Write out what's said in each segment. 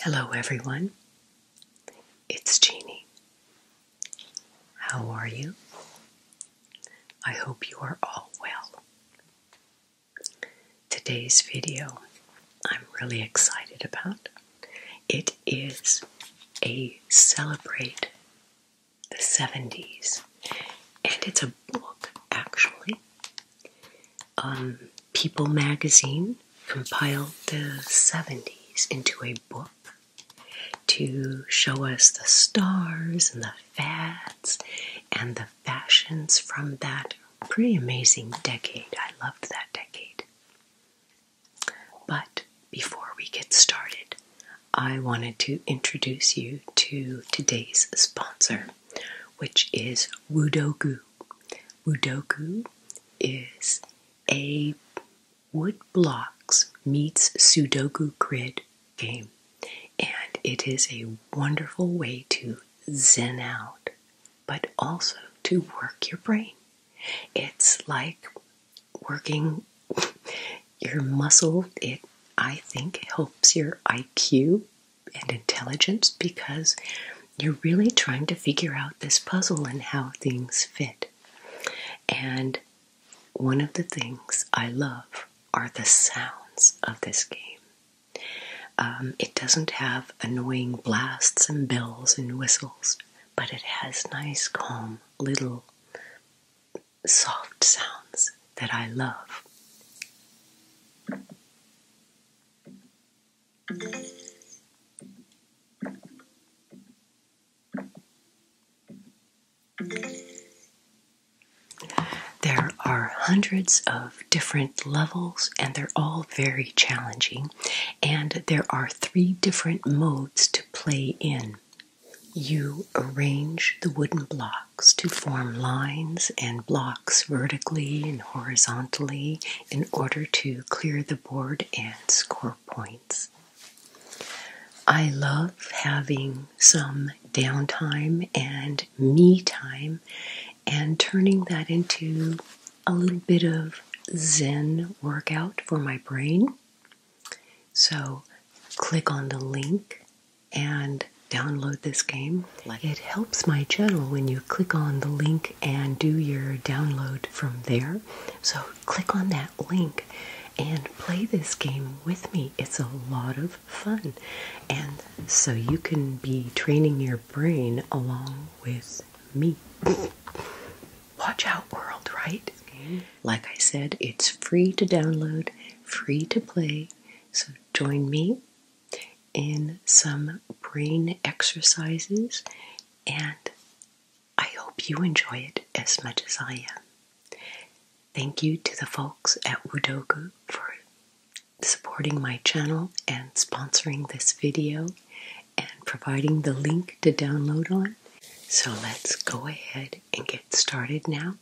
Hello, everyone. It's Jeannie. How are you? I hope you are all well. Today's video I'm really excited about. It is a Celebrate the 70s, and it's a book actually. People magazine compiled the 70s into a book to show us the stars and the fads and the fashions from that pretty amazing decade. I loved that decade. But before we get started, I wanted to introduce you to today's sponsor, which is Wudogu. Wudogu is a wood blocks meets Sudoku grid game, and it is a wonderful way to zen out, but also to work your brain. It's like working your muscle. It, I think, helps your IQ and intelligence because you're really trying to figure out this puzzle and how things fit. And one of the things I love are the sounds of this game. Um, it doesn't have annoying blasts and bells and whistles but it has nice, calm, little soft sounds that I love. There are hundreds of different levels, and they're all very challenging, and there are three different modes to play in. You arrange the wooden blocks to form lines and blocks vertically and horizontally in order to clear the board and score points. I love having some downtime and me time and turning that into a little bit of Zen workout for my brain. So, click on the link and download this game. It helps my channel when you click on the link and do your download from there. So, click on that link and play this game with me. It's a lot of fun. And so you can be training your brain along with me. Watch Out World, right? Mm-hmm. Like I said, it's free to download, free to play. So join me in some brain exercises, and I hope you enjoy it as much as I am. Thank you to the folks at Wudoku for supporting my channel and sponsoring this video and providing the link to download on. So let's go ahead and get started now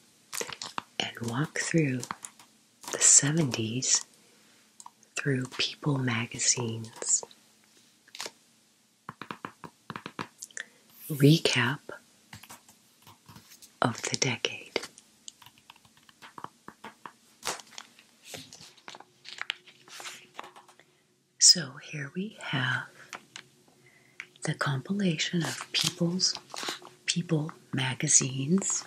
and walk through the 70s through People magazines. Recap of the decade. So here we have the compilation of people's people magazines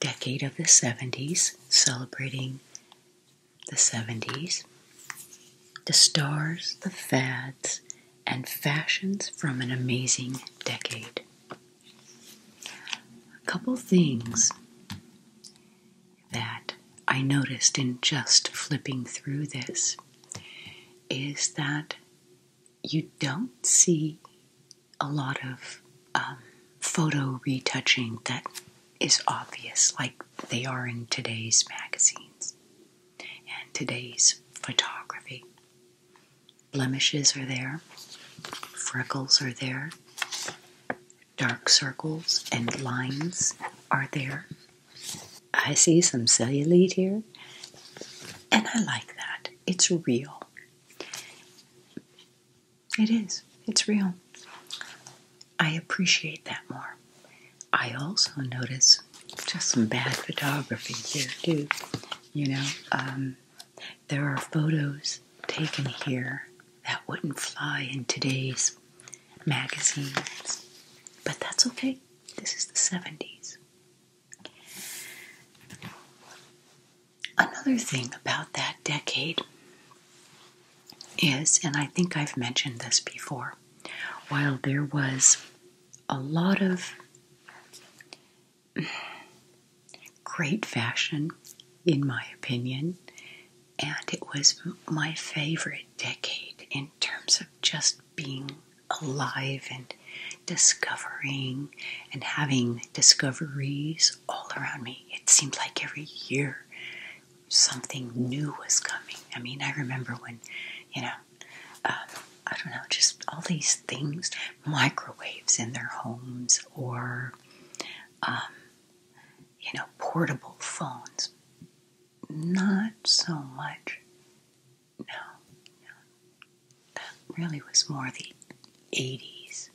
decade of the 70s celebrating the 70s the stars the fads and fashions from an amazing decade a couple things that I noticed in just flipping through this is that you don't see a lot of um, photo retouching that is obvious, like they are in today's magazines and today's photography. Blemishes are there, freckles are there, dark circles and lines are there. I see some cellulite here, and I like that. It's real. It is. It's real. I appreciate that more. I also notice just some bad photography here, too. You know, um, there are photos taken here that wouldn't fly in today's magazines, but that's okay. This is the 70s. Another thing about that decade is, and I think I've mentioned this before, while there was a lot of great fashion, in my opinion, and it was my favorite decade in terms of just being alive and discovering and having discoveries all around me. It seemed like every year something new was coming. I mean, I remember when, you know, uh, I don't know, just all these things, microwaves in their homes or um, you know, portable phones. Not so much. No, That really was more the 80s.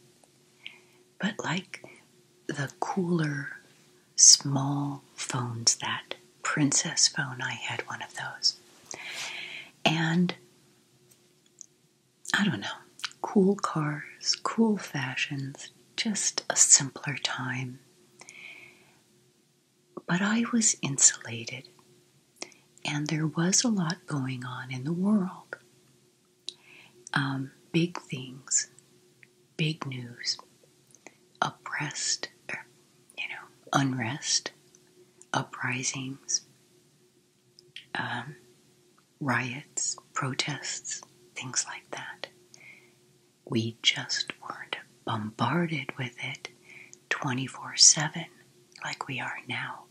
But like the cooler, small phones, that princess phone, I had one of those. And I don't know, cool cars, cool fashions, just a simpler time. But I was insulated, and there was a lot going on in the world. Um, big things, big news, oppressed, er, you know, unrest, uprisings, um, riots, protests, things like that. We just weren't bombarded with it 24 7 like we are now.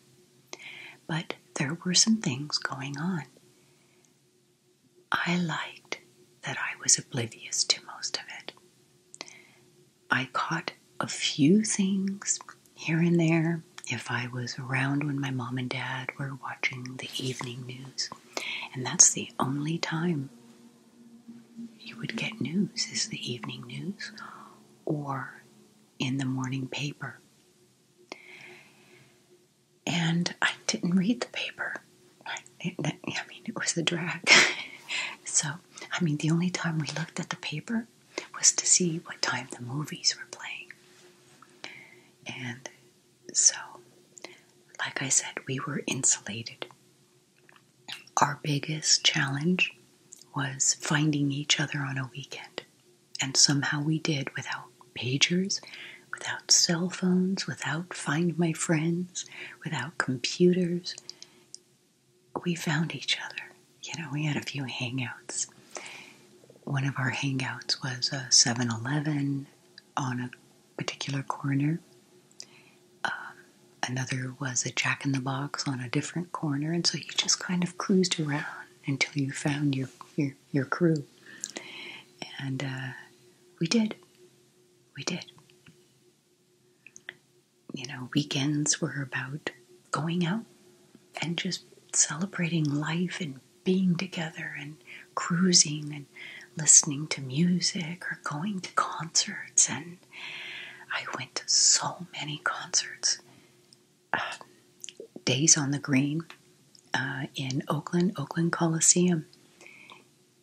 But there were some things going on. I liked that I was oblivious to most of it. I caught a few things here and there, if I was around when my mom and dad were watching the evening news. And that's the only time you would get news is the evening news or in the morning paper. And I didn't read the paper. I, mean, it was a drag. so, I mean, the only time we looked at the paper was to see what time the movies were playing. And so, like I said, we were insulated. Our biggest challenge was finding each other on a weekend. And somehow we did without pagers, without cell phones, without Find My Friends, without computers. We found each other. You know, we had a few hangouts one of our hangouts was a 7 Eleven on a particular corner. Um, another was a Jack in the Box on a different corner. And so you just kind of cruised around until you found your, your, your crew. And uh, we did. We did. You know, weekends were about going out and just celebrating life and being together and cruising and listening to music or going to concerts. And I went to so many concerts. Uh, Days on the Green uh, in Oakland, Oakland Coliseum.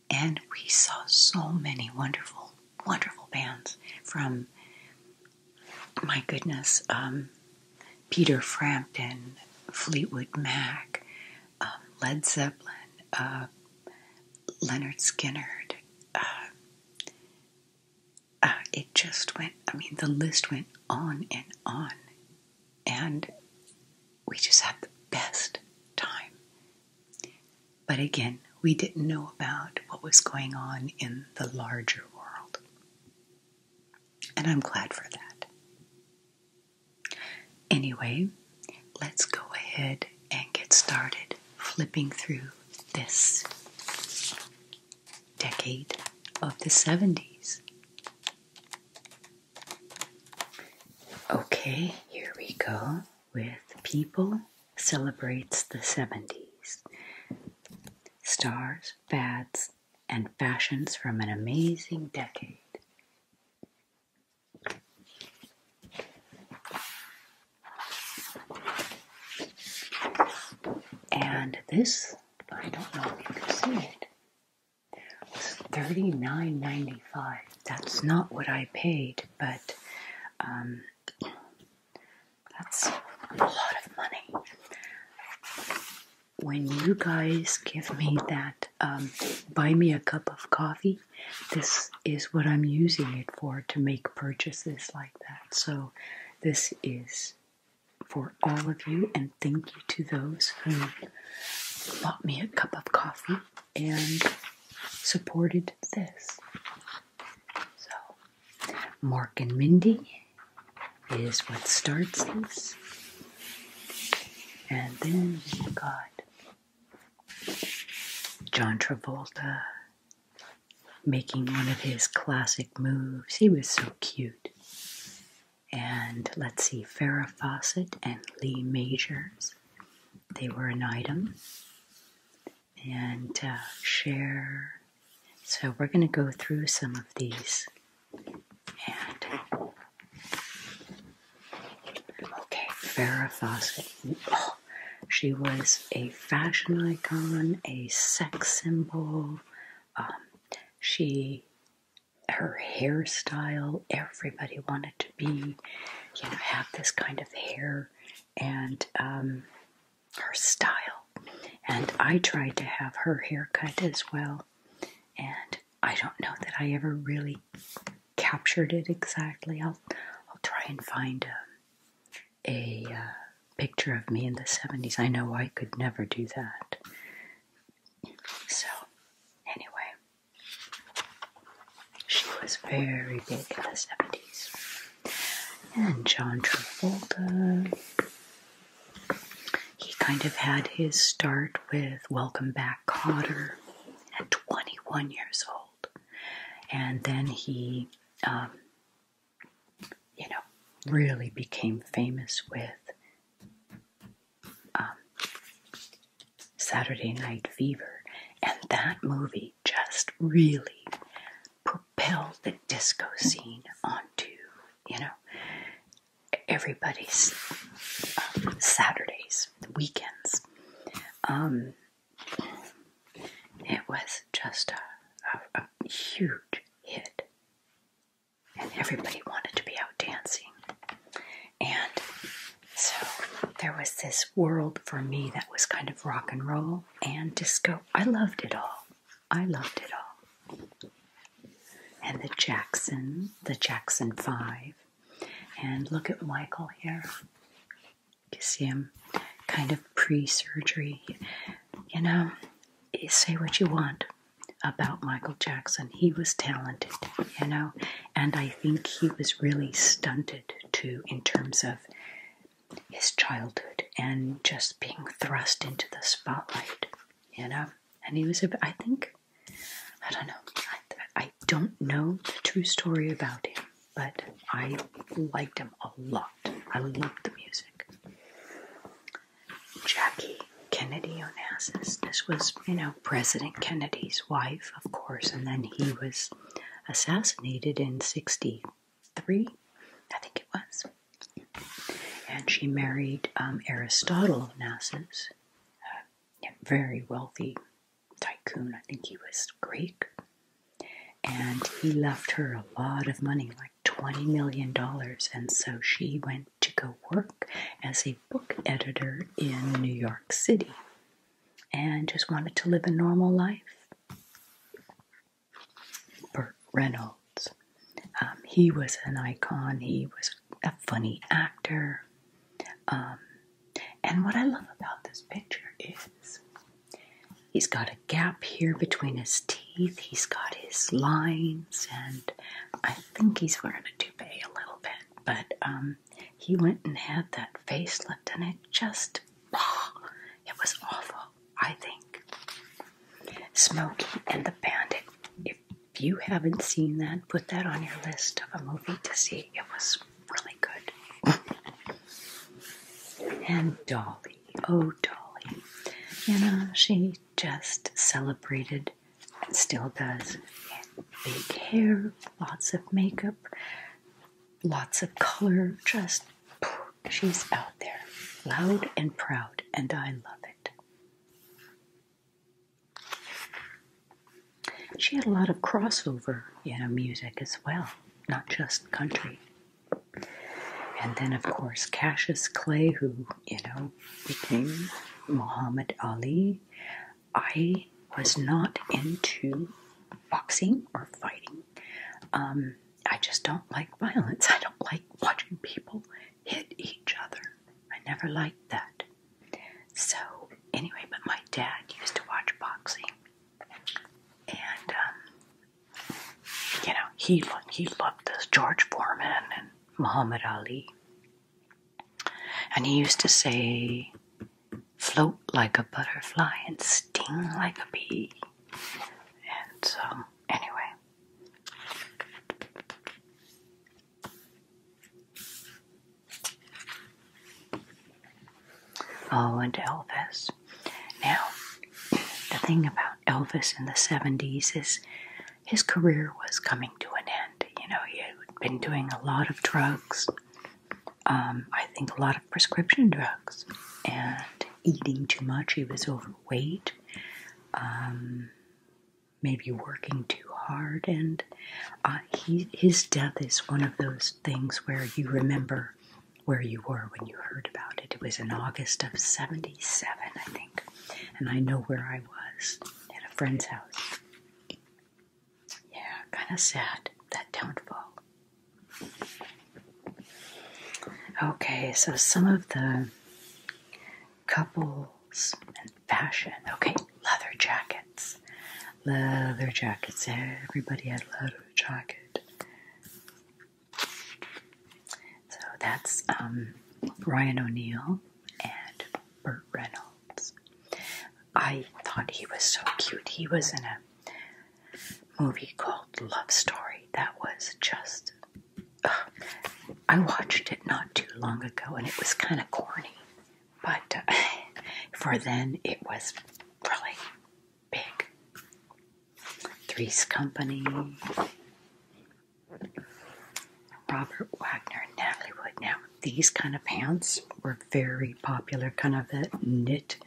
And we saw so many wonderful, wonderful bands from, my goodness, um, Peter Frampton, Fleetwood Mac, um, Led Zeppelin, uh, Leonard Skinnard. Uh, uh, it just went, I mean, the list went on and on. And we just had the best time. But again, we didn't know about what was going on in the larger world and I'm glad for that. Anyway, let's go ahead and get started flipping through this decade of the 70s. Okay, here we go with People Celebrates the 70s. Stars, fads, and fashions from an amazing decade. And this, I don't know if you can see it, was 39 That's not what I paid, but um, that's a lot of money when you guys give me that um, buy me a cup of coffee, this is what I'm using it for to make purchases like that. So, this is for all of you, and thank you to those who bought me a cup of coffee and supported this. So, Mark and Mindy, is what starts this. And then we have got John Travolta making one of his classic moves. He was so cute. And let's see, Farrah Fawcett and Lee Majors. They were an item. And uh, Cher so we're going to go through some of these. And okay, Farrah Fawcett. Oh, she was a fashion icon, a sex symbol. Um, she, her hairstyle, everybody wanted to be, you know, have this kind of hair and um, her style and I tried to have her hair cut as well. And I don't know that I ever really captured it exactly. I'll, I'll try and find um, a, a uh, picture of me in the 70s. I know I could never do that. So, anyway, she was very big in the 70s. And John Travolta he kind of had his start with Welcome Back Cotter at 21 years old. And then he, um, you know, really became famous with um, Saturday Night Fever. And that movie just really propelled the disco scene onto, you know, everybody's um, Saturdays, weekends. Um, it was just a huge hit, and everybody wanted to be out dancing. And so there was this world for me that was kind of rock and roll and disco. I loved it all. I loved it all. And the Jackson, the Jackson Five. And look at Michael here. You see him kind of pre surgery. You know, eh, say what you want about Michael Jackson. He was talented, you know, and I think he was really stunted too in terms of his childhood and just being thrust into the spotlight you know. And he was, a, I think, I don't know, I, I don't know the true story about him, but I liked him a lot. I loved the music. Jackie Kennedy Onassis. This was, you know, President Kennedy's wife, of course, and then he was assassinated in 63, I think it was and she married um, Aristotle of Nassus, a very wealthy tycoon. I think he was Greek, and he left her a lot of money, like twenty million dollars. And so she went to go work as a book editor in New York City, and just wanted to live a normal life. Burt Reynolds. Um, he was an icon. He was a funny actor. Um, and what I love about this picture is he's got a gap here between his teeth. He's got his lines, and I think he's wearing a toupee a little bit. But um, he went and had that facelift, and it just, ah, it was awful. I think. Smokey and the Bandit. If you haven't seen that, put that on your list of a movie to see. It was really good. and Dolly. Oh, Dolly. You know, she just celebrated and still does. Big hair, lots of makeup, lots of color, just she's out there, loud and proud, and I love it. She had a lot of crossover, you know, music as well, not just country. And then, of course, Cassius Clay, who, you know, became Muhammad Ali. I was not into boxing or fighting. Um, I just don't like violence. I don't like watching people hit each other. I never liked that. So, anyway, but my dad used to watch boxing. And, um, you know, he, lo he loved this George Foreman and Muhammad Ali. And he used to say, float like a butterfly and sting like a bee. And so, anyway, Oh, and Elvis. Now, the thing about Elvis in the 70s is his career was coming to an end. You know, he had been doing a lot of drugs, um, I think a lot of prescription drugs, and eating too much. He was overweight um, weight, maybe working too hard. And uh, his death is one of those things where you remember where you were when you heard about it. It was in August of 77, I think. And I know where I was at a friend's house. Yeah, kind of sad, that downfall. Okay, so some of the couples and fashion. Okay, leather jackets. Leather jackets. Everybody had leather jacket. So that's um, Ryan O'Neal and Burt Reynolds. I thought he was so cute. He was in a movie called Love Story that was just I watched it not too long ago and it was kind of corny, but uh, for then it was really big. Three's Company, Robert Wagner, Natalie Wood. Now, these kind of pants were very popular, kind of the knit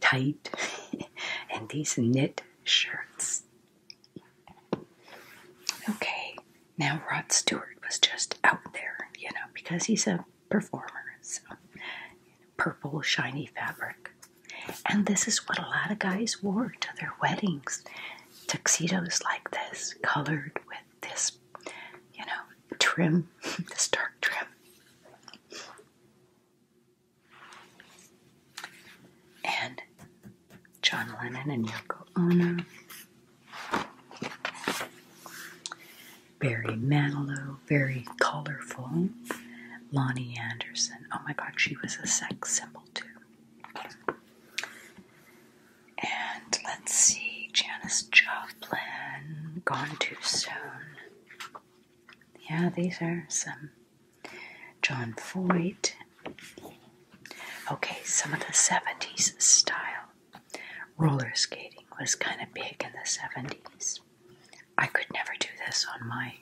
tight, and these knit shirts Okay, now Rod Stewart was just out there, you know, because he's a performer, so purple, shiny fabric. And this is what a lot of guys wore to their weddings tuxedos like this, colored with this, you know, trim, this dark trim and John Lennon and Yoko Ono, Barry Manilow, very colorful, Lonnie Anderson. Oh my God, she was a sex symbol too. And let's see, Janis Joplin, Gone Too Soon. Yeah, these are some John Voight. Okay, some of the 70s style roller skating was kind of big in the 70s. I could never do this on my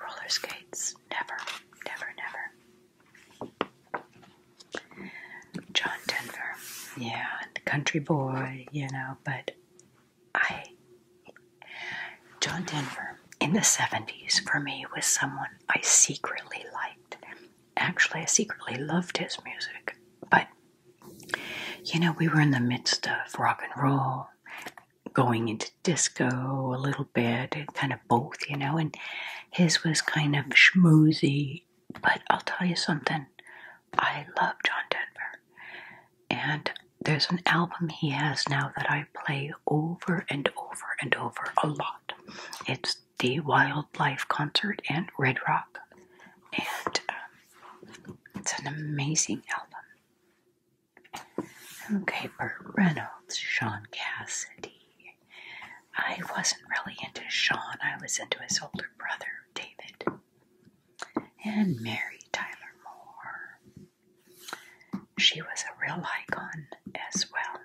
roller skates. Never, never, never. John Denver, yeah, country boy, you know, but I John Denver in the 70s for me was someone I secretly liked. Actually, I secretly loved his music, but you know, we were in the midst of rock and roll, going into disco a little bit, kind of both, you know, and his was kind of schmoozy. But I'll tell you something, I love John Denver, and there's an album he has now that I play over and over and over a lot. It's the Wildlife Concert and Red Rock, and um, it's an amazing album. Okay, Burt Reynolds, Sean Cassidy. I wasn't really into Sean, I was into his older brother, David, and Mary Tyler Moore. She was a real icon as well.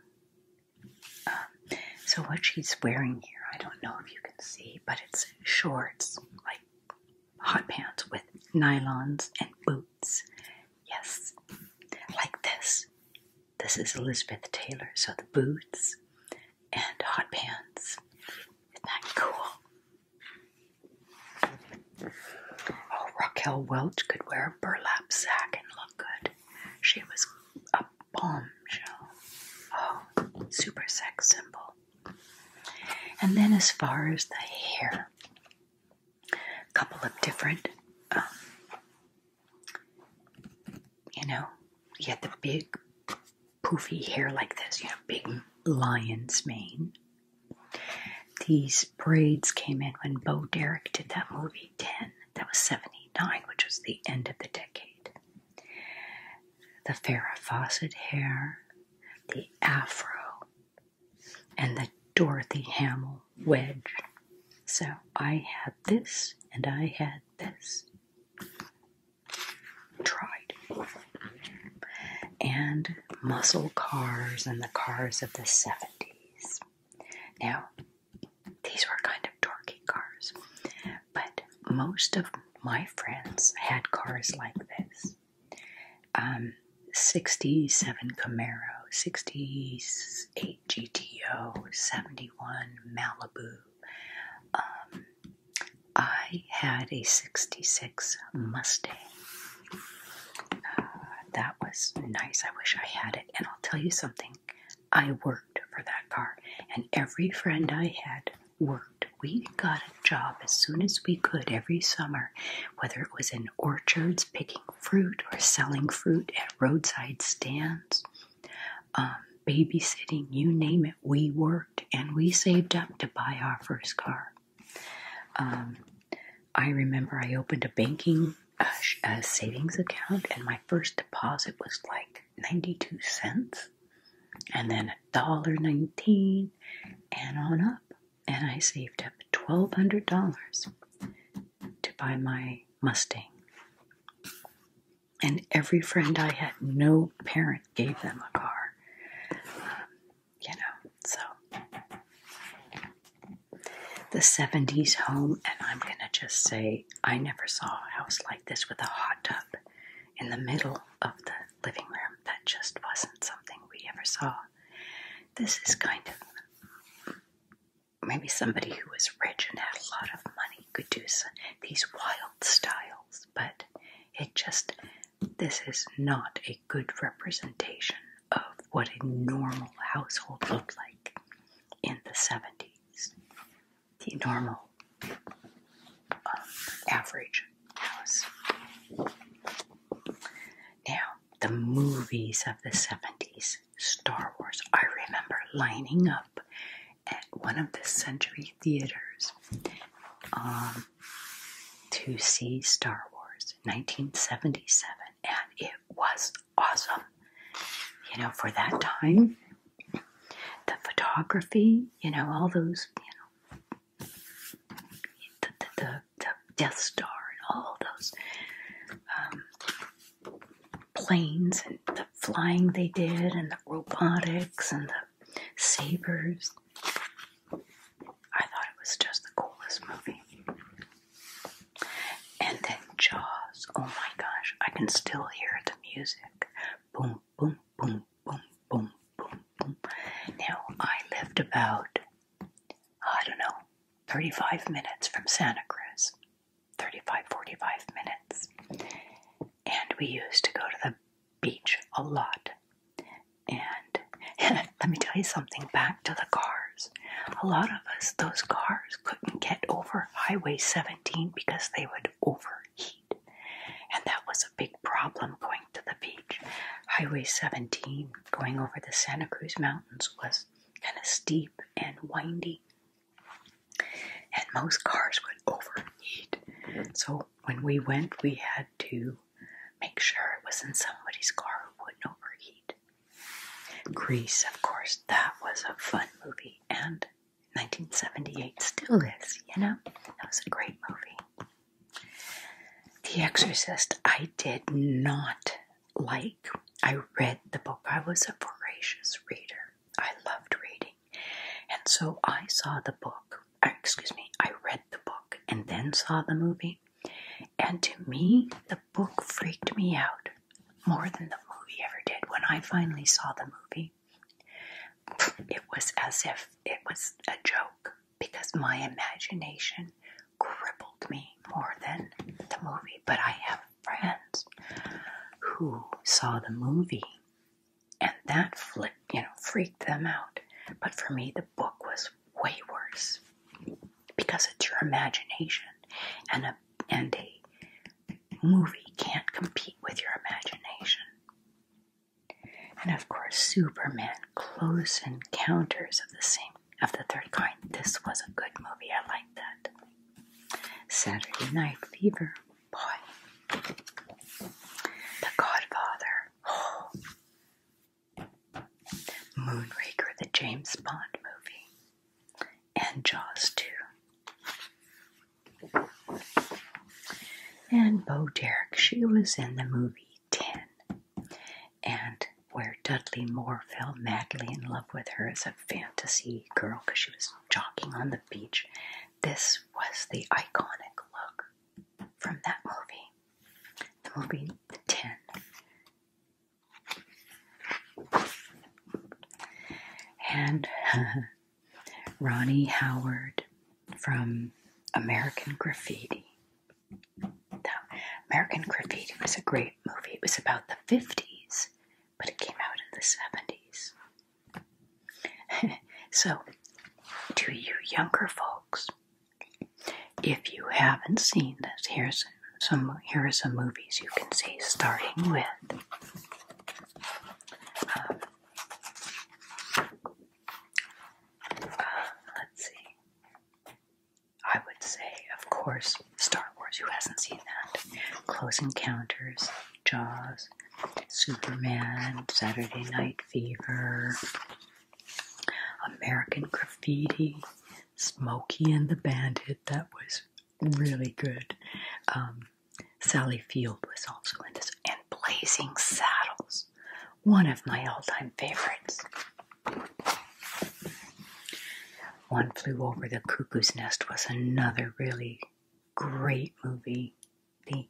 Um, so what she's wearing here, I don't know if you can see, but it's shorts, like hot pants with nylons and boots. Yes, like this. This is Elizabeth Taylor, so the boots and hot pants. Isn't that cool? Oh, Raquel Welch could wear a burlap sack and look good. She was a bombshell. Oh, super sex symbol. And then, as far as the hair, a couple of different, um, you know, you had the big poofy hair like this, you know, big lion's mane. These braids came in when Bo Derek did that movie 10. That was 79, which was the end of the decade. The Farrah Fawcett hair, the afro, and the Dorothy Hamill wedge. So I had this and I had this. Tried. And muscle cars and the cars of the 70s. Now, these were kind of dorky cars, but most of my friends had cars like this. Um, 67 Camaro, 68 GTO, 71 Malibu. Um, I had a 66 Mustang. that was nice. I wish I had it. And I'll tell you something I worked for that car, and every friend I had worked. We got a job as soon as we could every summer, whether it was in orchards picking fruit or selling fruit at roadside stands. Um, babysitting, you name it, we worked and we saved up to buy our first car. Um, I remember I opened a banking a uh, uh, savings account, and my first deposit was like 92 cents, and then a dollar 19, and on up. And I saved up $1,200 to buy my Mustang. And every friend I had, no parent gave them a car. Um, you know, so, the 70s home, and I'm going to just say I never saw a house like this with a hot tub in the middle of the living room. That just wasn't something we ever saw. This is kind of maybe somebody who was rich and had a lot of money could do some, these wild styles, but it just, this is not a good representation of what a normal household looked like in the 70s. The normal, uh, average house. Now, the movies of the 70s, Star Wars. I remember lining up at one of the Century Theaters um, to see Star Wars. 1977, and it was awesome. You know, for that time, the photography, you know, all those, you know, the, the, Death Star and all those um, planes and the flying they did, and the robotics and the sabers. I thought it was just the coolest movie. And then Jaws. Oh my gosh, I can still hear the music. Boom, boom, boom, boom, boom, boom, boom. Now, I lived about, I don't know, 35 minutes from Santa Cruz. 35, 45 minutes. And we used to go to the beach a lot. And Let me tell you something back to the cars. A lot of us, those cars couldn't get over Highway 17 because they would overheat. And that was a big problem going to the beach. Highway 17 going over the Santa Cruz Mountains was kind of steep and windy. And most cars would overheat. So when we went, we had to make sure it was in somebody's car who wouldn't overheat. Grease, of course, that was a fun movie, and 1978 still is, you know? That was a great movie. The Exorcist, I did not like. I read the book, I was a voracious reader. I loved reading. And so I saw the book, uh, excuse me, I read the book and then saw the movie. And to me, the book freaked me out more than the movie ever did when I finally saw the movie. It was as if it was a joke because my imagination crippled me more than the movie. But I have friends who saw the movie and that flipped, you know, freaked them out. But for me, the book was way worse, because it's your imagination, and a and a movie can't compete with your imagination. And of course, Superman: Close Encounters of the Same of the Third Kind. This was a good movie. I liked that. Saturday Night Fever. Boy, The Godfather. Oh, Moonraker, the James Bond movie, and Jaws too. And Bo Derek, she was in the movie 10, and where Dudley Moore fell madly in love with her as a fantasy girl because she was jogging on the beach. This was the iconic look from that movie. The movie 10 and uh, Ronnie Howard from American Graffiti. American Graffiti was a great movie. It was about the 50s, but it came out in the 70s. so, do you younger folks, if you haven't seen this, here's some here are some movies you can see, starting with um, uh, let's see. I would say, of course, Star Wars. Who hasn't seen that? Close Encounters, Jaws, Superman, Saturday Night Fever, American Graffiti, Smokey and the Bandit, that was really good. Um, Sally Field was also in this, and Blazing Saddles, one of my all time favorites. One Flew Over the Cuckoo's Nest was another really great movie. The,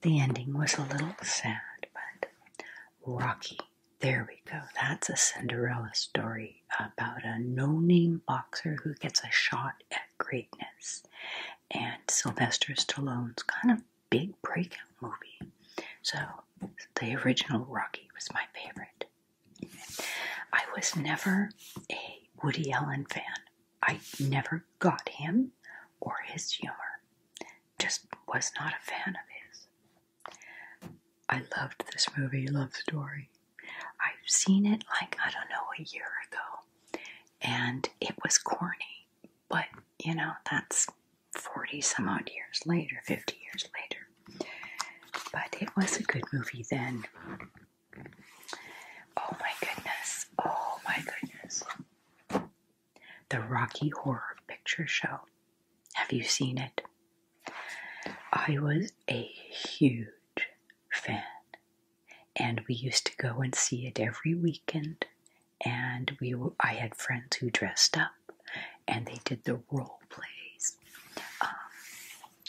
the ending was a little sad, but Rocky there we go. That's a Cinderella story about a no name boxer who gets a shot at greatness. And Sylvester Stallone's kind of big breakout movie. So the original Rocky was my favorite. I was never a Woody Allen fan. I never got him or his humor. Just was not a fan of his. I loved this movie, Love Story. I've seen it like, I don't know, a year ago. And it was corny. But, you know, that's 40 some odd years later, 50 years later. But it was a good movie then. Oh my goodness. Oh my goodness. The Rocky Horror Picture Show. Have you seen it? I was a huge fan, and we used to go and see it every weekend. And we, I had friends who dressed up, and they did the role plays. Um,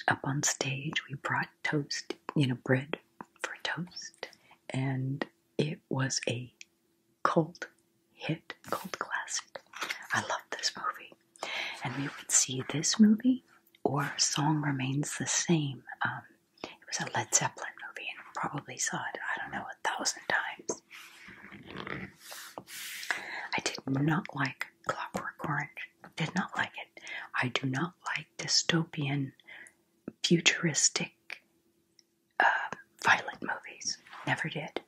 up on stage, we brought toast, you know, bread for toast, and it was a Cold hit, cold classic. I love this movie. And we would see this movie or Song Remains the Same. Um, it was a Led Zeppelin movie and probably saw it, I don't know, a thousand times. I did not like Clockwork Orange. Did not like it. I do not like dystopian, futuristic, uh, violent movies. Never did.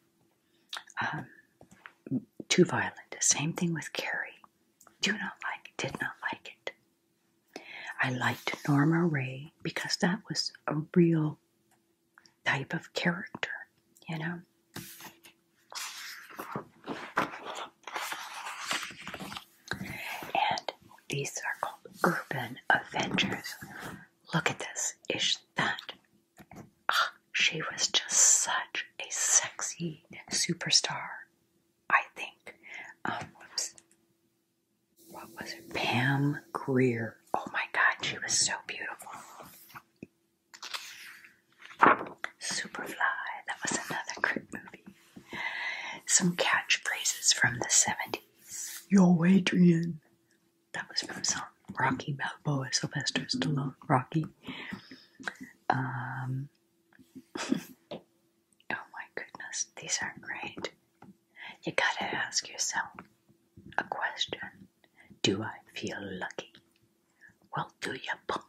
Um, too violent. Same thing with Carrie. Do not like did not like it. I liked Norma Ray because that was a real type of character, you know. And these are called urban Avengers. Look at this. Is that she was just such a sexy superstar. I think. Um, whoops. What was it? Pam Greer. Oh my God, she was so beautiful. Superfly. That was another great movie. Some catchphrases from the 70s. Yo, Adrian. That was from some Rocky Balboa, Sylvester Stallone, Rocky. Um, oh my goodness, these are great. You gotta ask yourself a question Do I feel lucky? Well, do ya, punk?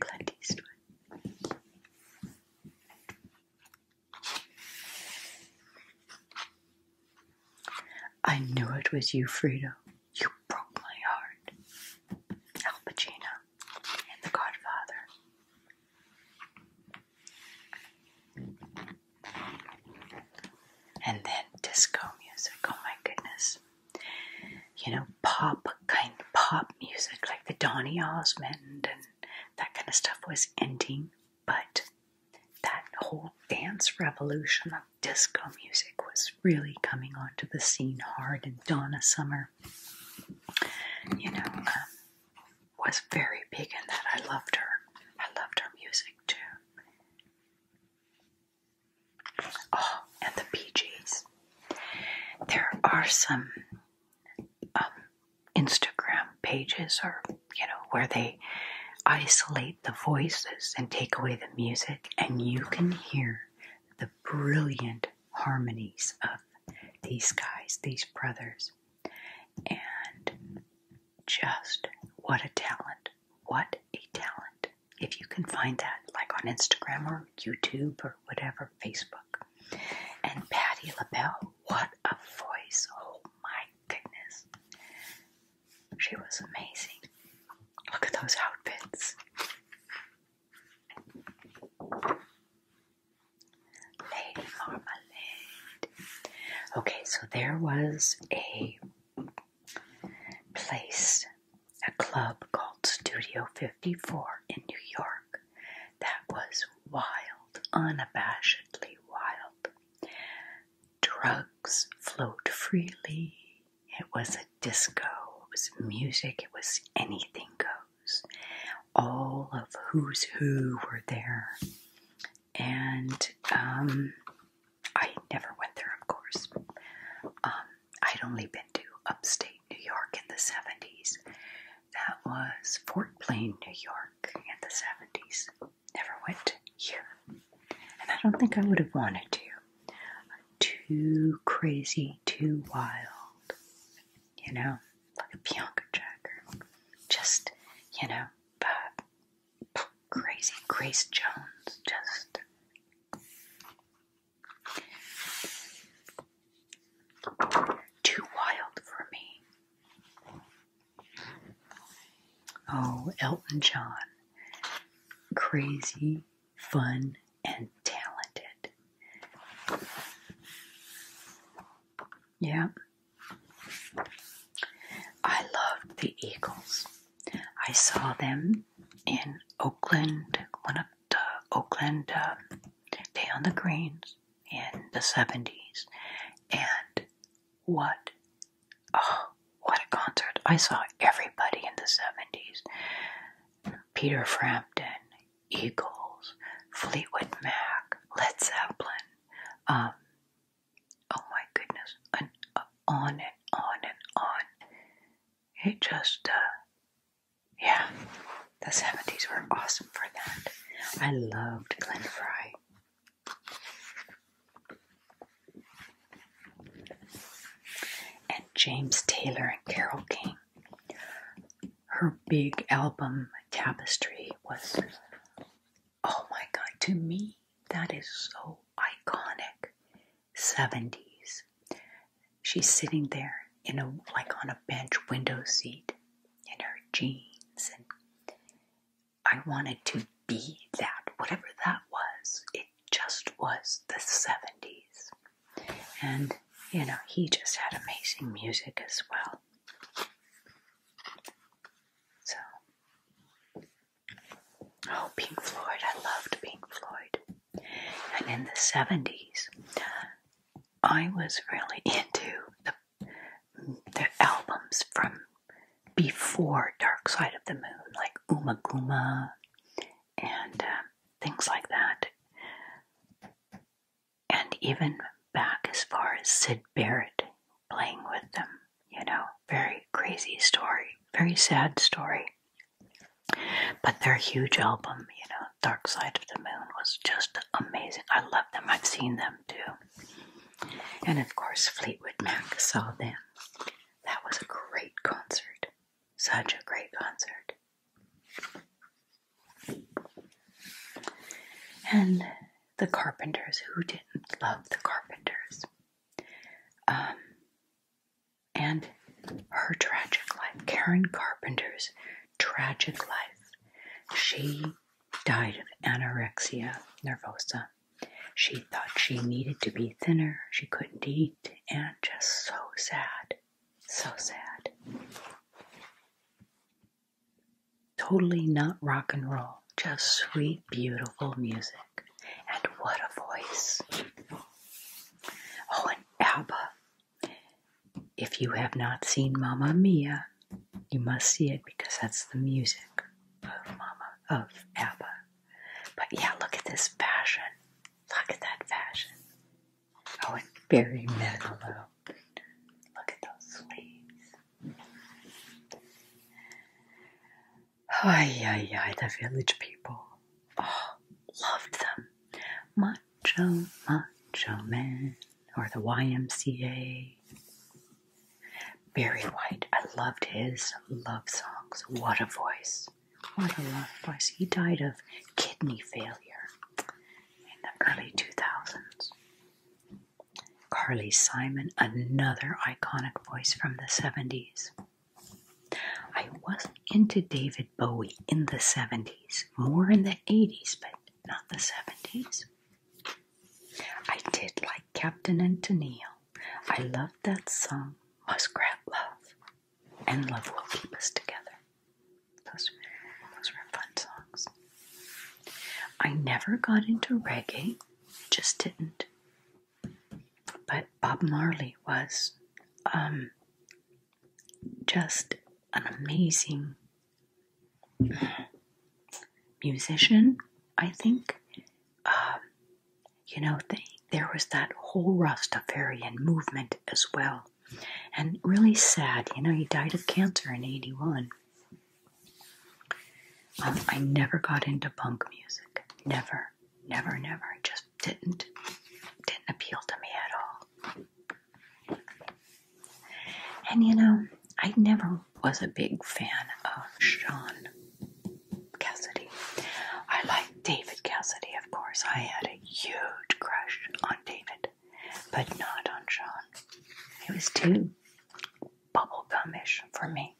Clint I knew it was you, Frida. You broke my heart. Al Pacino and The Godfather. And then disco music. Oh my goodness. You know, pop, kind of pop music, like the Donny Osmond and that kind of stuff was ending, but that whole dance revolution disco music was really coming onto the scene hard, and Donna Summer, you know, um, was very big in that. I loved her. I loved her music too. Oh, and the Bee Gees. There are some um, Instagram pages or you know, where they isolate the voices and take away the music, and you can hear the brilliant harmonies of these guys, these brothers. And just what a talent! What a talent! If you can find that, like on Instagram or YouTube or whatever, Facebook. And Patti LaBelle, what a voice! Oh my goodness. She was amazing. Look at those outfits. Lady Marmalade. Okay, so there was a place, a club called Studio 54 in New York that was wild, unabashedly wild drugs float freely. It was a disco, it was music, it was anything goes. All of who's who were there. And um, I never went there, of course. Um, I'd only been to upstate New York in the 70s. That was Fort Plain, New York in the 70s never went here. And I don't think I would have wanted to. too crazy, too wild. You know, like a Bianca Jagger. Just, you know, crazy Grace Jones. Just. Too wild for me. Oh, Elton John. Crazy, fun, and talented. Yeah. I loved the Eagles. I saw them in Oakland, one of the Oakland uh, Day on the Greens in the 70s. And what Oh, what a concert. I saw everybody in the 70s. Peter Frampton, Eagles, Fleetwood Mac, Led Zeppelin. Um, oh my goodness. And, uh, on and on and on. It just, uh, yeah. The 70s were awesome for that. I loved Glenn Fry and James Taylor and Carol King. Her big album Tapestry was, oh my god, to me, that is so iconic. 70s. She's sitting there in a like on a bench window seat in her jeans and I wanted to be that, whatever that was. It just was the 70s. And, you know, he just had amazing music as well. So, oh, Pink Floyd, I loved Pink Floyd. And in the 70s, I was really into the, the albums from before Dark Side of the Moon, like Umaguma and uh, things like that. And even back as far as Sid Barrett playing with them, you know, very crazy story, very sad story. But their huge album, you know, Dark Side of the Moon was just amazing. I love them. I've seen them too. And of course, Fleetwood Mac saw them. That was a great concert. Such a great concert. And the Carpenters, who didn't love the Carpenters? Um, and her tragic life, Karen Carpenter's tragic life. She died of anorexia nervosa she thought she needed to be thinner. She couldn't eat and just so sad. So sad. Totally not rock and roll, just sweet, beautiful music. And what a voice! Oh, and Alba. If you have not seen Mamma Mia, you must see it because that's the music of Mama of Abba. But yeah, look at this fashion. Look at that fashion. Oh, it's very minimal. Look at those sleeves. Ay, ay, ay, the village people. Oh, loved them. Macho, macho men, or the YMCA. Barry White, I loved his love songs. What a voice. What a love voice. He died of kidney failure in the early 2000s. Carly Simon, another iconic voice from the 70s. I wasn't into David Bowie in the 70s, more in the 80s, but not the 70s. I did like Captain and Tennille. I loved that song, Muskrat Love, and Love Will Keep Us Together. Those, those were fun songs. I never got into reggae, just didn't. But Bob Marley was um, just an amazing musician, I think, um, you know, there was that whole Rastafarian movement as well. And really sad, you know, he died of cancer in 81. Um, I never got into punk music. Never, never, never. just didn't, didn't appeal to me at all. And you know, I never was a big fan of Sean. Cassidy. I like David Cassidy, of course. I had a huge crush on David, but not on Sean. He was too bubblegumish for me.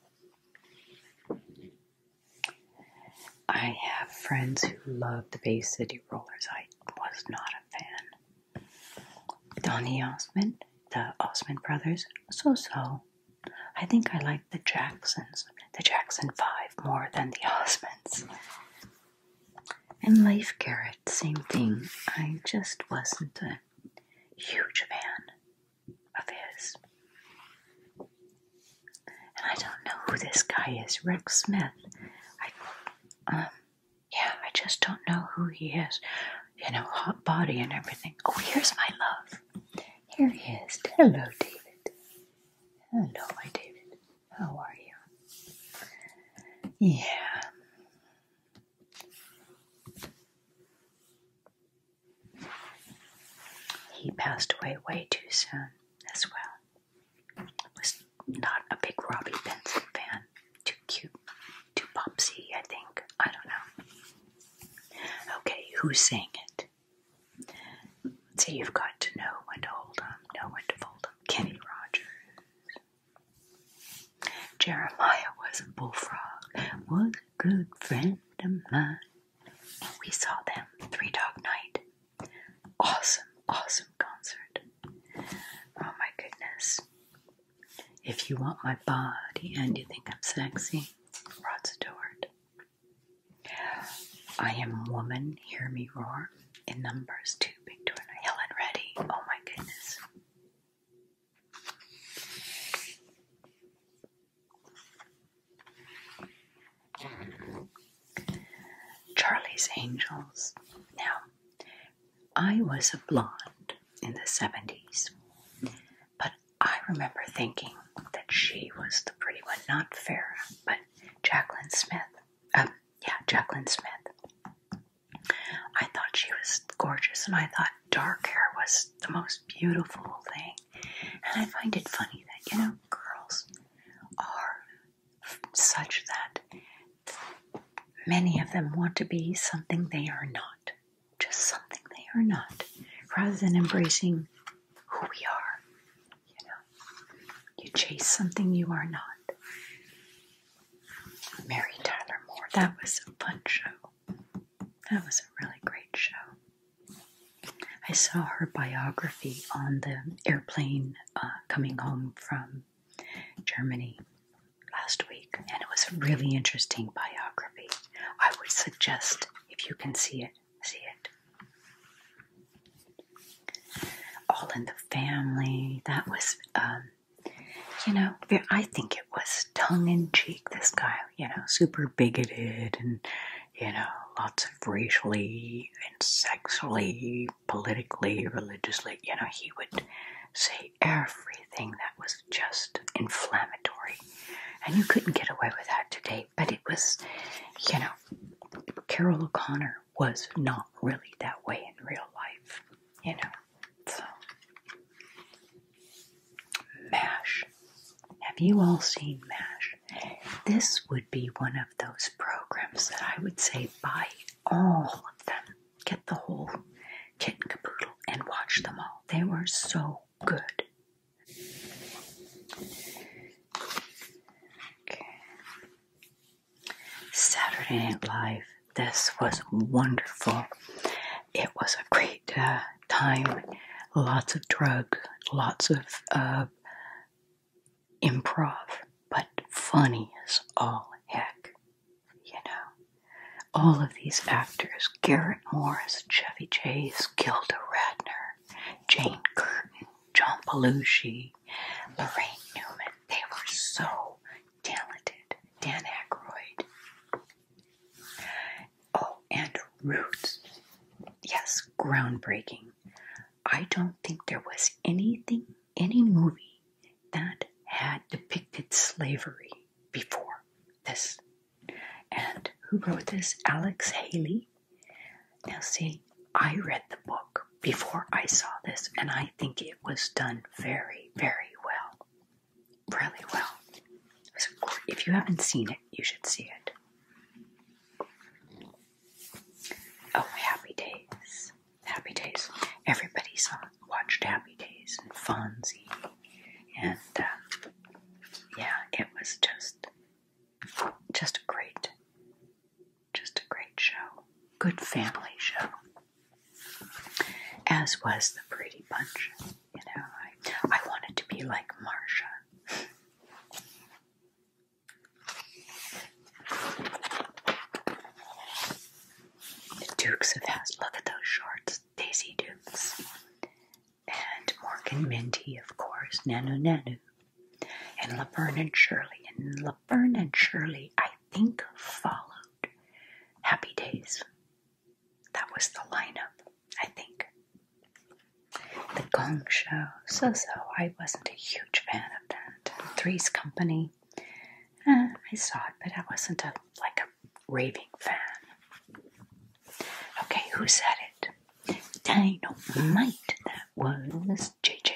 I have friends who love the Bay City Rollers. I was not a fan. Donny Osmond, the Osmond brothers, so so. I think I like the Jacksons, the Jackson Five, more than the Osmonds. And Life Garrett, same thing. I just wasn't a huge fan of his. And I don't know who this guy is, Rick Smith. I, um, yeah, I just don't know who he is you know, hot body and everything. Oh, here's my love. Here he is. Hello, David. Hello, my David. How are you? Yeah. He passed away way too soon as well. Was not a big Robbie Benson fan. Too cute. Too popsy, I think. I don't know. Okay, who sang it? Let's see, you've got to know when to hold 'em, know when to fold 'em. Kenny Rogers. Jeremiah was a bullfrog, was a good friend of mine. We saw them Three Dog Night. Awesome, awesome concert. Oh my goodness. If you want my body and you think I'm sexy, Rod Stewart. I am a woman, hear me roar. In numbers two, big door, Helen Reddy. Oh my goodness. Charlie's Angels. Now, I was a blonde in the 70s, but I remember thinking that she was the pretty one, not Farrah, but Jacqueline Smith. Um, yeah, Jacqueline Smith. I thought she was gorgeous, and I thought dark hair was the most beautiful thing. And I find it funny that, you know, girls are such that many of them want to be something they are not just something they are not, rather than embracing who we are. You know, you chase something you are not. Mary Tyler Moore, that was a fun show. That was a really great show. I saw her biography on the airplane uh, coming home from Germany last week, and it was a really interesting biography. I would suggest if you can see it, see it. All in the Family. That was, um, you know, I think it was tongue in cheek. This guy, you know, super bigoted and, you know, lots of racially and sexually, politically, religiously, you know, he would say everything that was just inflammatory. And you couldn't get away with that today, but it was, you know, Carol O'Connor was not really that way in real life, you know. So, MASH. Have you all seen MASH? This would be one of those programs that I would say buy all of them. Get the whole kit and caboodle and watch them all. They were so Good. Saturday Night Live. This was wonderful. It was a great uh, time. Lots of drugs, lots of uh, improv, but funny as all heck, you know. All of these actors, Garrett Morris, Chevy Chase, Gilda Radner, Jane Curtin, John Belushi, Lorraine Newman, they were so talented. Dan Aykroyd. Oh, and Roots. Yes, groundbreaking. I don't think there was anything, any movie that had depicted slavery before this and who wrote this? Alex Haley. Now, see, I read the book before I saw this, and I think it was done very, very well. Really well. So if you haven't seen it, you should see it. Oh, Happy Days. Happy Days. Everybody Everybody's watched Happy Days and Fonzie and uh, yeah, it was just just a great just a great show. Good family show. As was the Pretty Bunch. You know, I, I wanted to be like Marsha. The Dukes of Hazzard. Look at those shorts. Daisy Dukes, and Morgan hmm. Minty, of course, Nanu Nanu, and Laverne and Shirley. And Laverne and Shirley, I think, followed Happy Days. That was the lineup, I think. The Gong Show, so so. I wasn't a huge fan of that. Three's Company, eh, I saw it, but I wasn't a like a raving fan. Okay, who said it? Dynamite. That was JJ.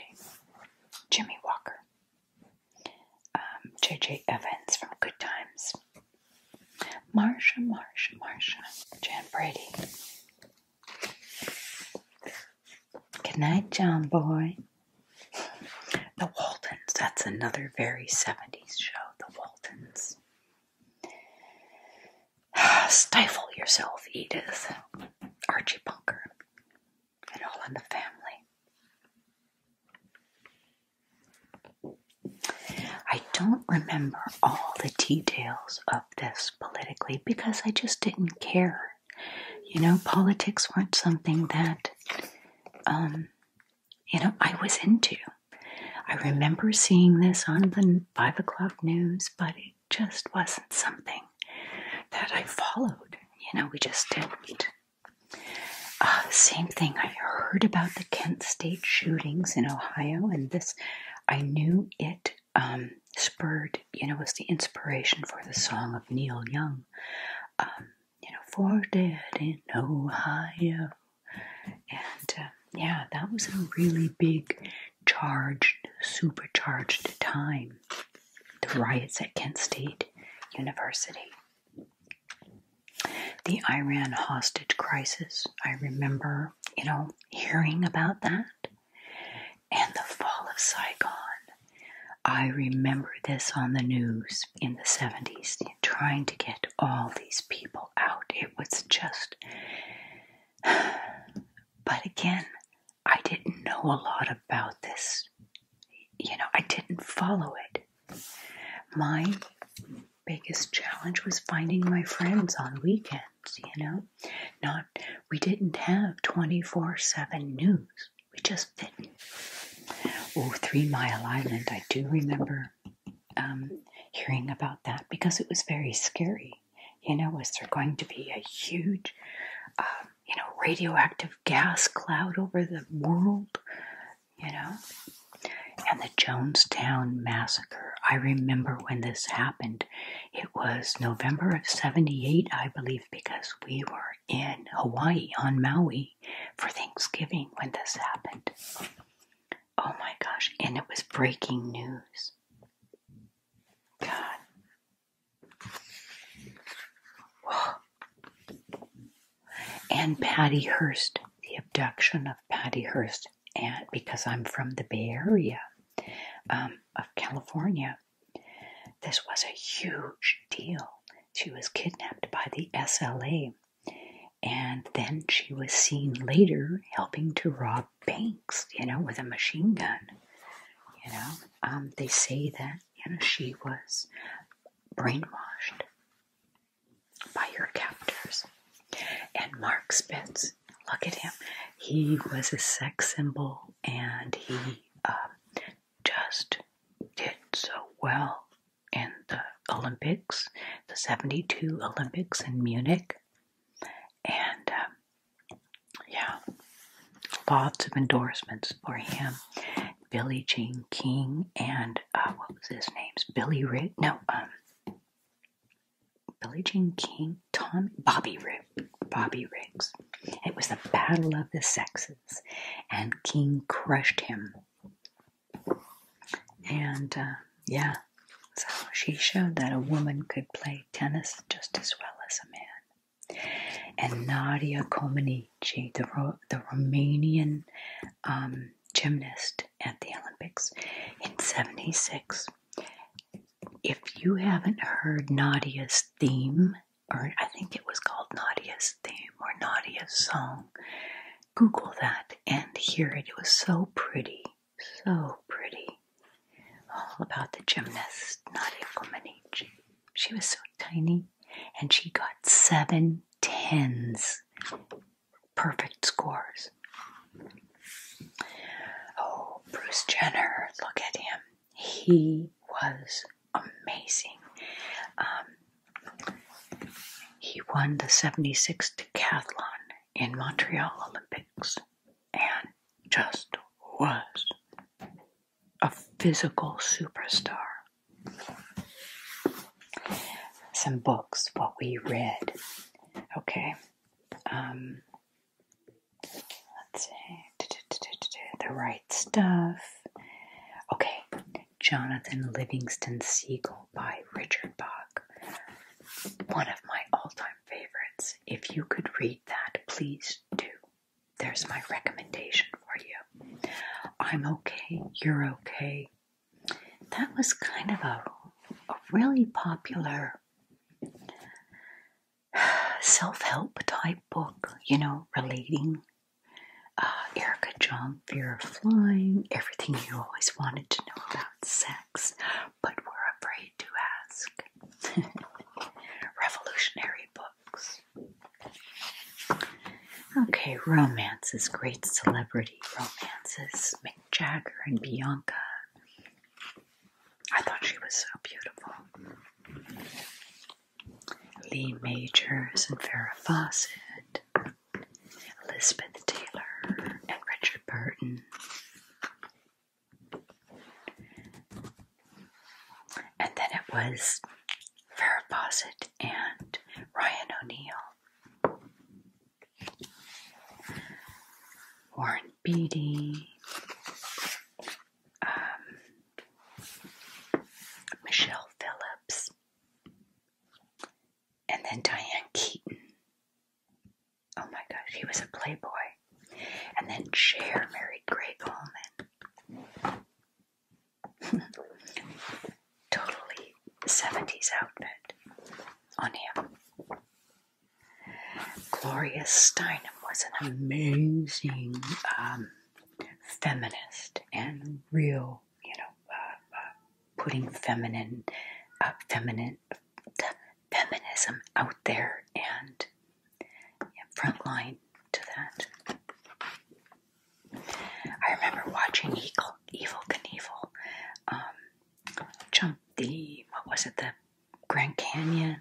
Jimmy Walker. JJ um, Evans from Good Times. Marsha, Marsha, Marsha. Jan Brady. Good night, John Boy. The Waltons. That's another very 70s show. The Waltons. Stifle yourself, Edith. Archie Bunker. And all in the family. I don't remember all the details of this politically because I just didn't care. You know, politics weren't something that um, you know, I was into. I remember seeing this on the five o'clock news, but it just wasn't something that I followed. You know, we just didn't. Uh, same thing, I heard about the Kent State shootings in Ohio, and this, I knew it um, spurred, you know, was the inspiration for the song of Neil Young. Um, you know, for dead in Ohio, and um, yeah, that was a really big, charged, supercharged time. The riots at Kent State University. The Iran hostage crisis. I remember, you know, hearing about that. And the fall of Saigon. I remember this on the news in the 70s trying to get all these people out. It was just. But again, I didn't know a lot about this. You know, I didn't follow it. My biggest challenge was finding my friends on weekends, you know. Not we didn't have 24/7 news. We just didn't. Oh, Three Mile Island, I do remember um, hearing about that because it was very scary. You know, was there going to be a huge, um, you know, radioactive gas cloud over the world? You know? And the Jonestown Massacre. I remember when this happened. It was November of 78, I believe, because we were in Hawaii on Maui for Thanksgiving when this happened. Oh my gosh, and it was breaking news. God. And Patty Hearst, the abduction of Patty Hearst, and because I'm from the Bay Area um, of California, this was a huge deal. She was kidnapped by the SLA, and then she was seen later helping to rob banks, you know, with a machine gun. You know, um, they say that, you know, she was brainwashed by her captors. And Mark Spitz, look at him. He was a sex symbol and he um, just did so well in the Olympics, the 72 Olympics in Munich. And um, yeah, lots of endorsements for him. Billy Jean King and uh, what was his name's Billy Rick? No, um, Billy Jean King, Tom Bobby Riggs, Bobby Riggs. It was the battle of the sexes, and King crushed him and uh, yeah, so she showed that a woman could play tennis just as well as a man. And Nadia Comaneci, the, the Romanian um, gymnast at the Olympics in 76. If you haven't heard Nadia's theme, or I think it was called Nadia's theme or Nadia's song, Google that and hear it. It was so pretty, so pretty. All about the gymnast, Nadia Comaneci. She was so tiny and she got seven tens. Perfect scores. Oh, Bruce Jenner, look at him. He was amazing. Um, he won the 76 decathlon in Montreal Olympics and just was a physical superstar. Some books, what we read. Okay. Um, let's see. The right stuff. Okay. Jonathan Livingston Seagull by Richard Bach. One of my all time favorites. If you could read that, please do. There's my recommendation for you. I'm okay, you're okay. That was kind of a, a really popular self help type book, you know, relating uh, Erica Jump, Fear of Flying, everything you always wanted to know about sex, but were afraid to ask. Revolutionary books. Okay, romance is great celebrity romances, Mick Jagger and Bianca. I thought she was so beautiful. Lee Majors and Farrah Fawcett. Elizabeth Taylor and Richard Burton. And then it was Farrah Fawcett and Ryan O'Neill, Warren Beatty, um, Michelle Phillips, and then Diane Keaton. Oh my gosh, he was a playboy. And then Cher married Greg Allman. totally 70s outfit on him. Gloria Steinem was an amazing um, feminist and real you know, uh, uh, putting feminine, uh, feminine, feminism out there and yeah, front line to that. I remember watching Evil, Evil Knievel um, jump the, what was it, the Grand Canyon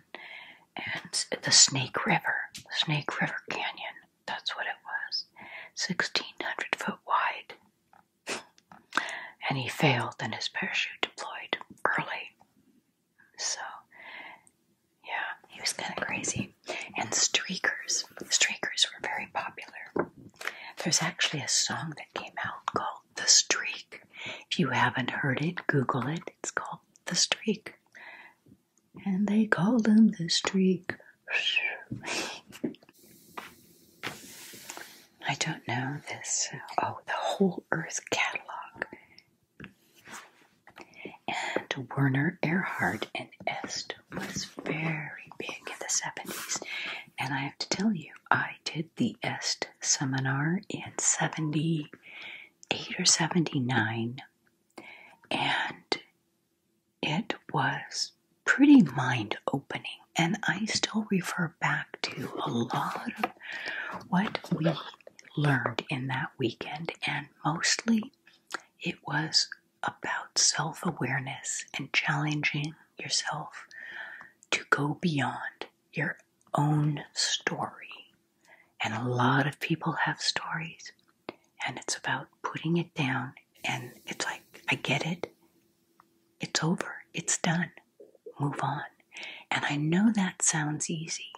and the Snake River, Snake River Canyon, that's what it was, 1600 foot wide and he failed, and his parachute deployed early. So, yeah, he was kind of crazy. And streakers, streakers were very popular. There's actually a song that came out called "The Streak." If you haven't heard it, Google it. It's called "The Streak," and they called them the Streak. I don't know this. Oh, the Whole Earth catalog. And Werner Erhard and Est was very big in the 70s. And I have to tell you, I did the Est seminar in 78 or 79. And it was pretty mind opening, and I still refer back to a lot of what we learned in that weekend, and mostly it was about self awareness and challenging yourself to go beyond your own story. And a lot of people have stories, and it's about putting it down and it's like, I get it. It's over. It's done. Move on. And I know that sounds easy,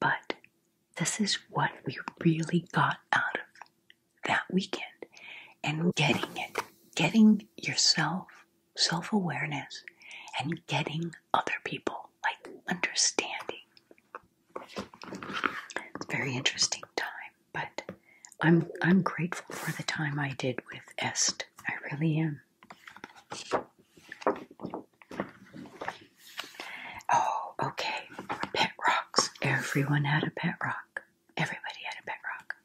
but this is what we really got out of that weekend. And getting it, getting yourself self awareness and getting other people, like understanding. It's a very interesting time. But I'm I'm grateful for the time I did with Est. I really am. Oh, okay. Pet rocks. Everyone had a pet rock. Everybody had a pet rock.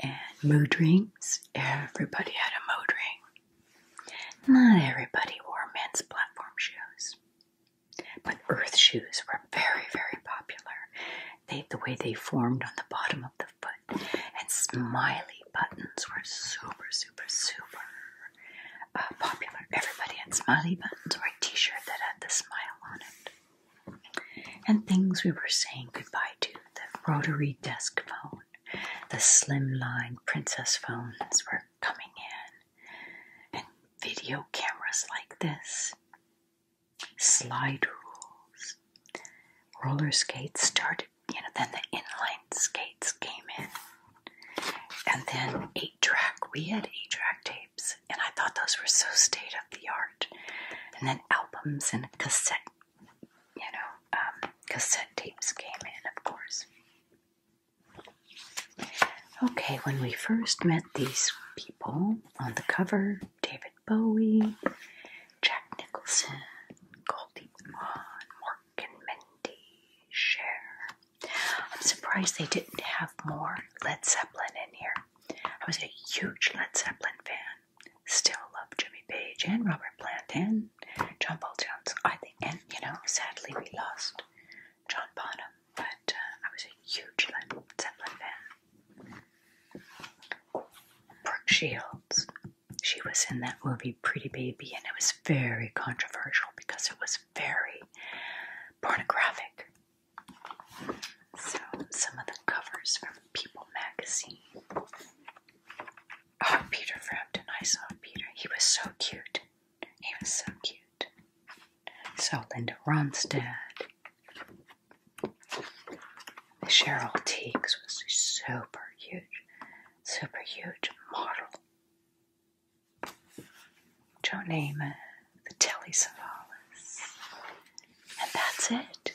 And mood rings. Everybody had a mood ring. Not everybody wore men's platform shoes. But earth shoes were very, very popular. They, the way they formed on the bottom of the foot, and smiley buttons were super, super, super uh, popular. Everybody had smiley buttons or a T-shirt that had the smile on it. And things we were saying goodbye to: the rotary desk phone, the slimline princess phones were coming in and video cameras like this, slide rules, roller skates started, you know, then the inline skates came in, and then eight track. We had eight track tapes, and I thought those were so state of the art, and then albums and cassette, you know, um, cassette tapes came in, of course. Okay, when we first met these people on the cover, David Bowie, Jack Nicholson, Goldie Hawn, Mark and Mindy, share I'm surprised they didn't have more Led Zeppelin in here. I was a huge Led Zeppelin fan. Still love Jimmy Page and Robert Plant and John Paul Jones. I think, and you know, sadly we lost John Bonham, but uh, I was a huge Led Zeppelin fan. Brooke Shields, she was in that movie Pretty Baby, and it was very controversial because it was very pornographic. So, some of the covers from People magazine. Oh, Peter Frampton, I saw Peter. He was so cute. He was so cute. So Linda Ronstadt, Cheryl Teagues was a super huge, super huge model. name it the Telly Savalas, and that's it.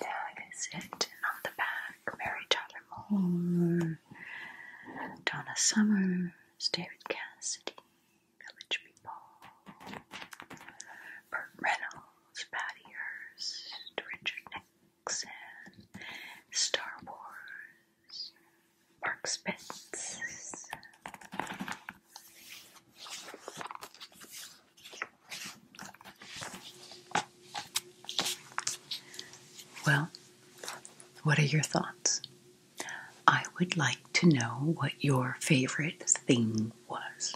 That is it. And the back, Mary Tyler Moore, Donna Summer, David Cassidy, Village People, Burt Reynolds, Patty Hearst, Richard Nixon, Star Wars, Mark Spitz. Well, what are your thoughts? I would like to know what your favorite thing was.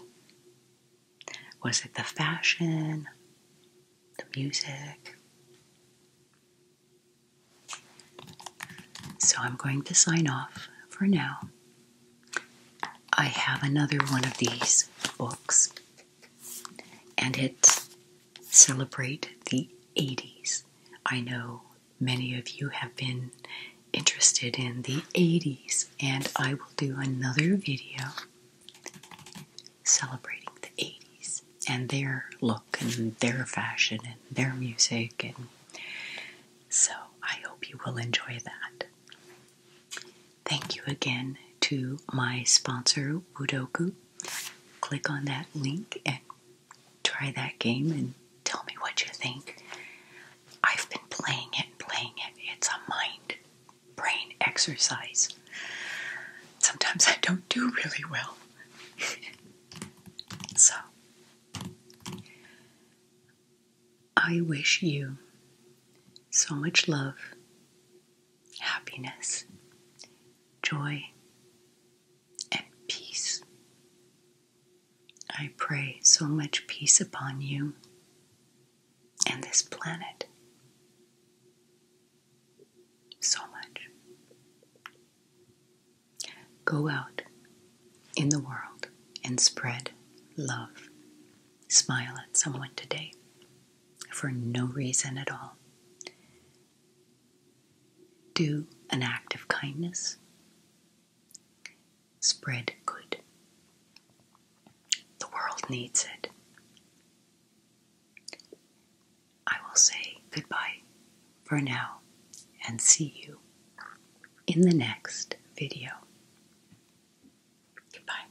Was it the fashion? The music? So I'm going to sign off for now. I have another one of these books, and it's celebrate the 80s. I know many of you have been interested in the 80s, and I will do another video celebrating the 80s and their look and their fashion and their music. And so I hope you will enjoy that. Thank you again to my sponsor, Wudoku. Click on that link and try that game and tell me what you think. I've been playing it playing it. It's a mind brain exercise. Sometimes I don't do really well. so, I wish you so much love, happiness, joy, and peace. I pray so much peace upon you and this planet. So much. Go out in the world and spread love. Smile at someone today for no reason at all. Do an act of kindness. Spread good. The world needs it. I will say goodbye for now and see you in the next video. Goodbye.